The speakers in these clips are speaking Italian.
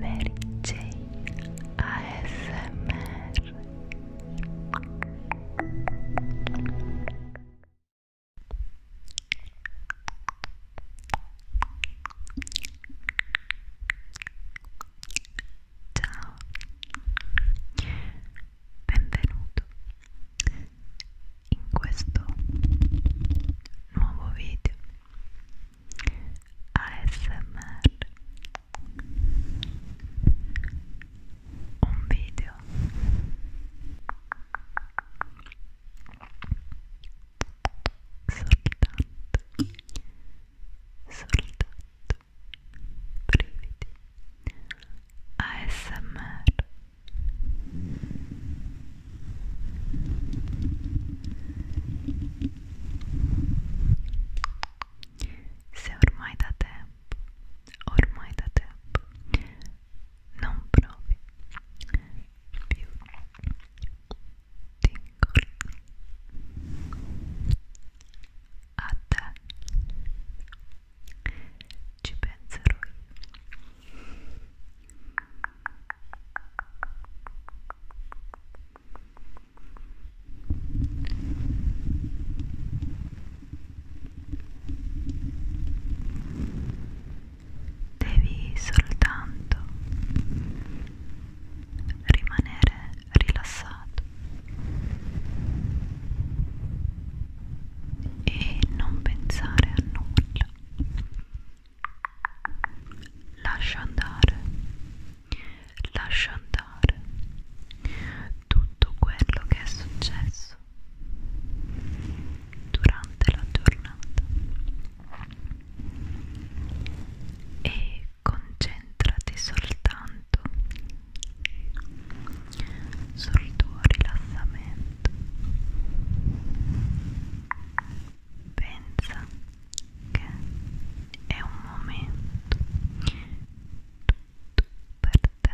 Mary Jane ASMR Ciao, benvenuto in questo nuovo video ASMR un video soltanto soltanto brividi ASMR Se ormai da tempo, ormai da tempo, non provi più tingle a te ci penserò io Devi soltanto rimanere rilassato e non pensare a nulla Lascia andare, lascia andare tutto quello che è successo durante la giornata e concentrati soltanto sul tuo rilassamento pensa che è un momento tutto per te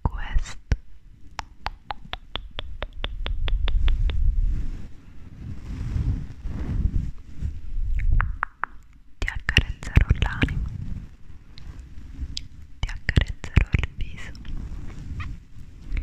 questo ti accarezzerò l'anima ti accarezzerò il viso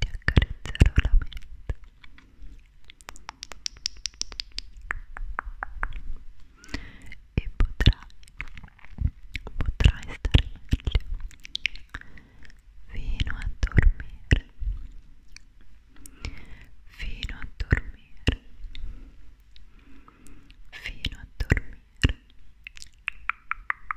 ti accarezzerò la mente e potrai, potrai stare fino a dormire fino a dormire fino a dormire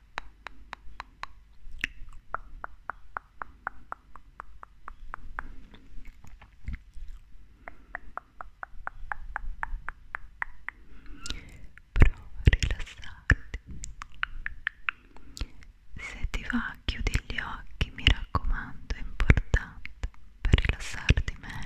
Prova a rilassarti. Se ti va, chiudi gli occhi, mi raccomando, è importante per rilassarti meglio.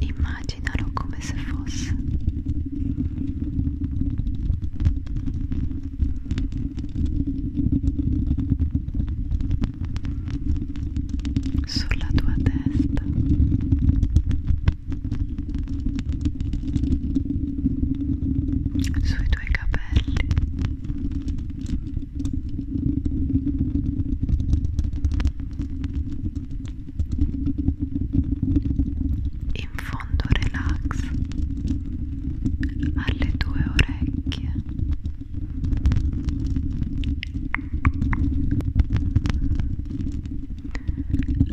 Immaginalo come se fosse sulla tua testa sui tuoi capelli in fondo relax alle tue orecchie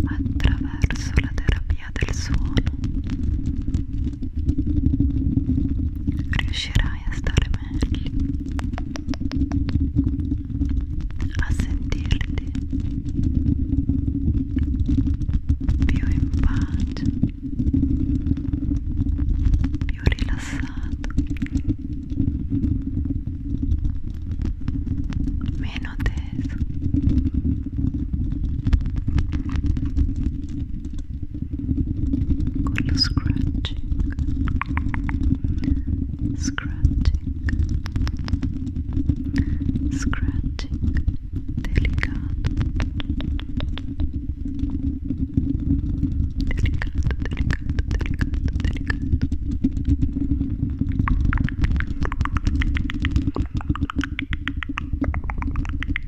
attraverso la terapia magia del suono riuscirai a stare meglio a sentirti più in pace più rilassato meno teso Good scratching, scratching, scratching, delicado, delicado, delicado, delicado, delicado.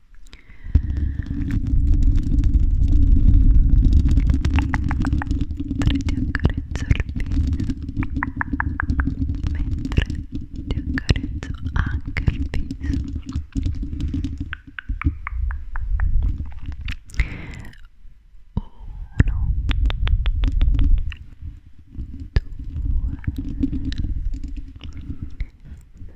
ti accarezzo il viso mentre ti accarezzo anche il viso uno due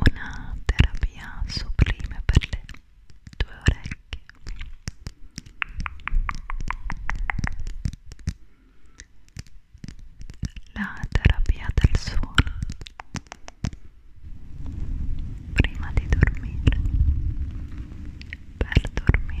Una terapia sublime per le due orecchie la terapia del suono prima di dormire per dormire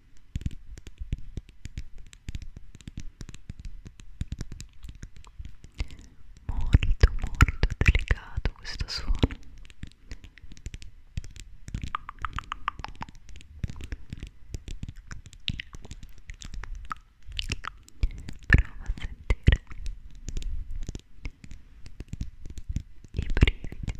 molto molto delicato questo suono prova a sentire i brividi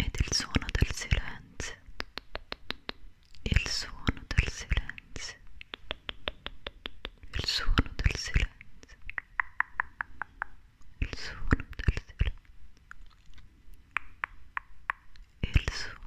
ed il suono del silenzio il suono del silenzio il suono del silenzio il suono del silenzio il suono